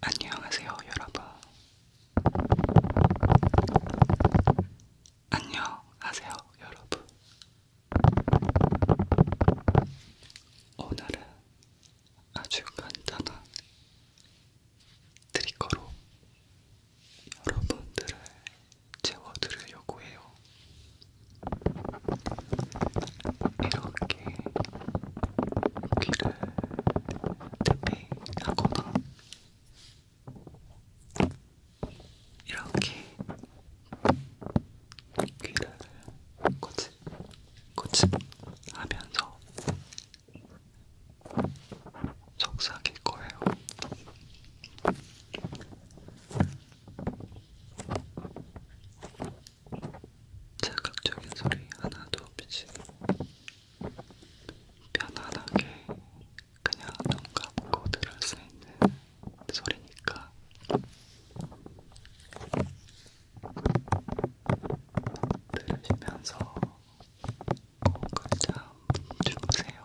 안녕하세요, 여러분. 안녕하세요, 여러분. 오늘은 아주 간단한 트리거로 여러분들을 채워드리려고 해요. 이렇게 귀를 대비하거나 이렇게 귀를 고치, 고치 하면서 속삭일 거예요. 자극적인 소리 하나도 없이 편안하게 그냥 눈 감고 들을 수 있는 소리니까 들으시면서 꼭잠 주무세요.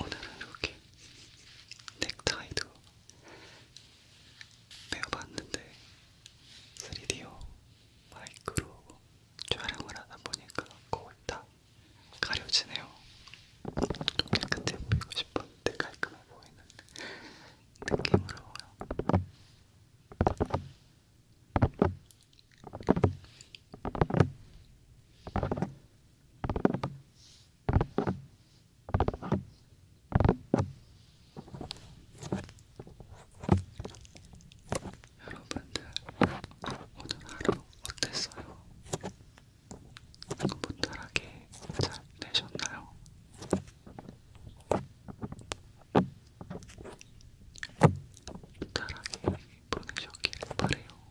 오늘은 이렇게 넥타이도 매어봤는데 3D로 마이크로 촬영을 하다 보니까 거의 다 가려지네요. 좀 깨끗해 보이고 싶었는데 깔끔해 보이는 느낌으로. 여러분들 오늘 하루 어땠어요? 무탈하게 잘 되셨나요? 무탈하게 보내셨길 바래요.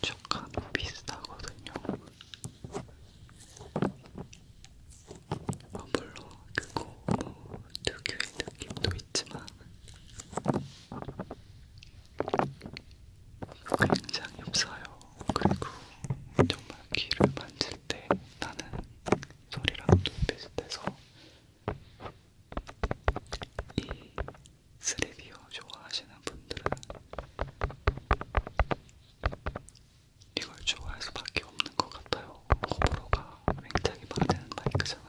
주가도 비슷하거든요. 아, 물론 그거 뭐 특유의 느낌도 있지만 굉장히 없어요. 그리고 정말 귀를 만질 때 나는 소리랑도 비슷해서 이 3D요 좋아하시는 분들은 이걸 좋아할 수밖에 없는 것 같아요. 호불호가 굉장히 많은 마이크잖아요.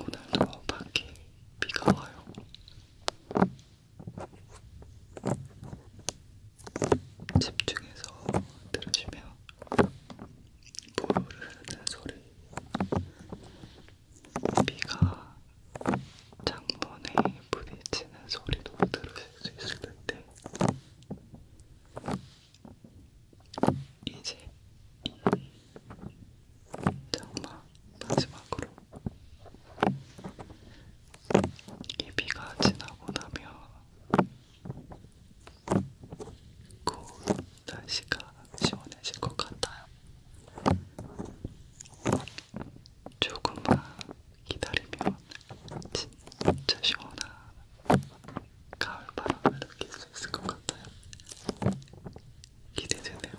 오늘도 밖에 비가 와요. 집중해서 들으시면 물을 흐르는 소리, 비가 창문에 부딪히는 소리도 들으실 수 있을 텐데 이제 이 장마 마지막으로 이 비가 지나고 나면 곧 날씨가 시원해질 것 같아요. 조금만 기다리면 진짜 시원한 가을 바람을 느낄 수 있을 것 같아요. 기대되네요.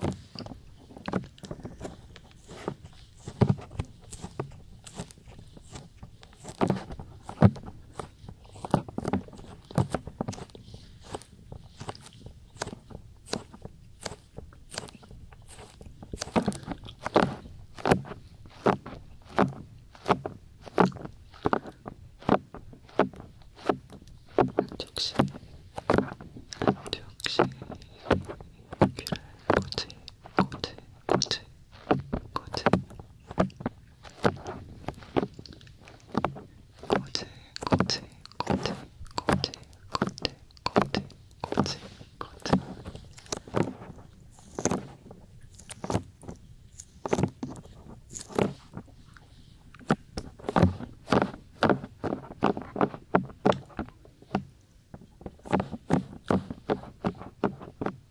역시 역시 귀를 꽂지 코트, 코트, 코트, 코트, 코트, 코트, 코트, 코트, 코트, 코트, 코트. 코트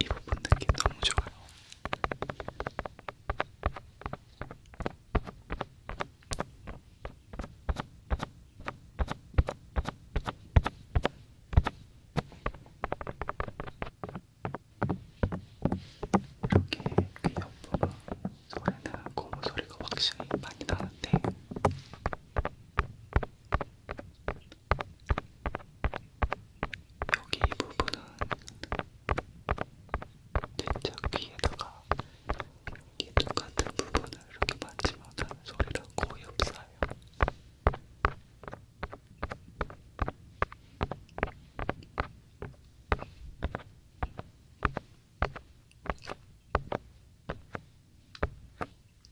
이 부분 느낌 너무 좋아요. 이렇게 귀 그 옆부분 소리는 고무 소리가 확실히 많이 나는데 여기 이 부분은 진짜 귀에다가 이 똑같은 부분을 이렇게 만지면 하는 소리랑 거의 없어요.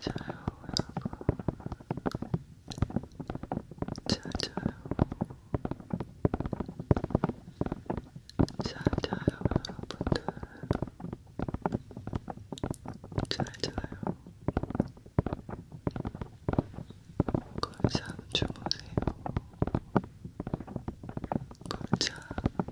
자자요 여러분 자자요 자자요 여러분들 잘자요 걸잠 주무세요 걸잠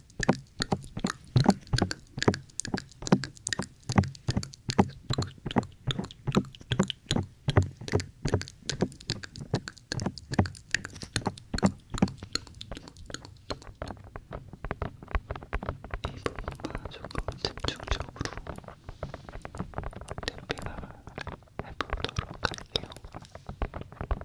부분만 조금 집중적으로 탭핑을 해보도록 할게요.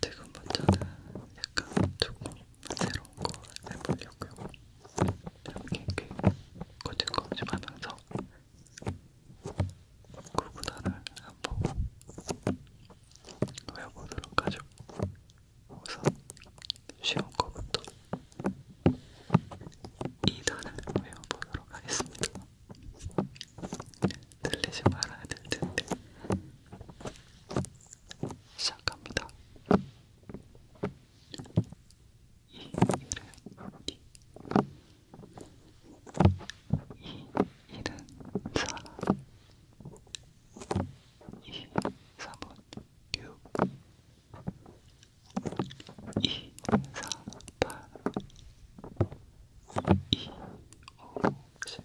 지금부터는 약간 조금 새로운 거 해보려고요. 이렇게 이렇게 꼬집꼬집하면서 구구단을 한번 외워보도록 하죠. 우선 쉬운 거부터 2단을 외워보도록 하겠습니다. 들리지 말아야 될 텐데 시작합니다. 이 일은 이, 이 일은 사람 이 사분 육, 이 사팔, 이 오십,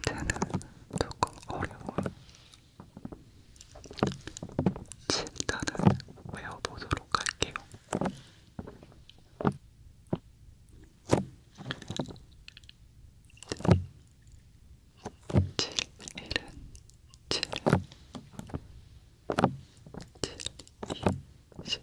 이제는 조금 어려워. 일단은 외워보도록 할게요. 칠일은 칠, 칠이 십.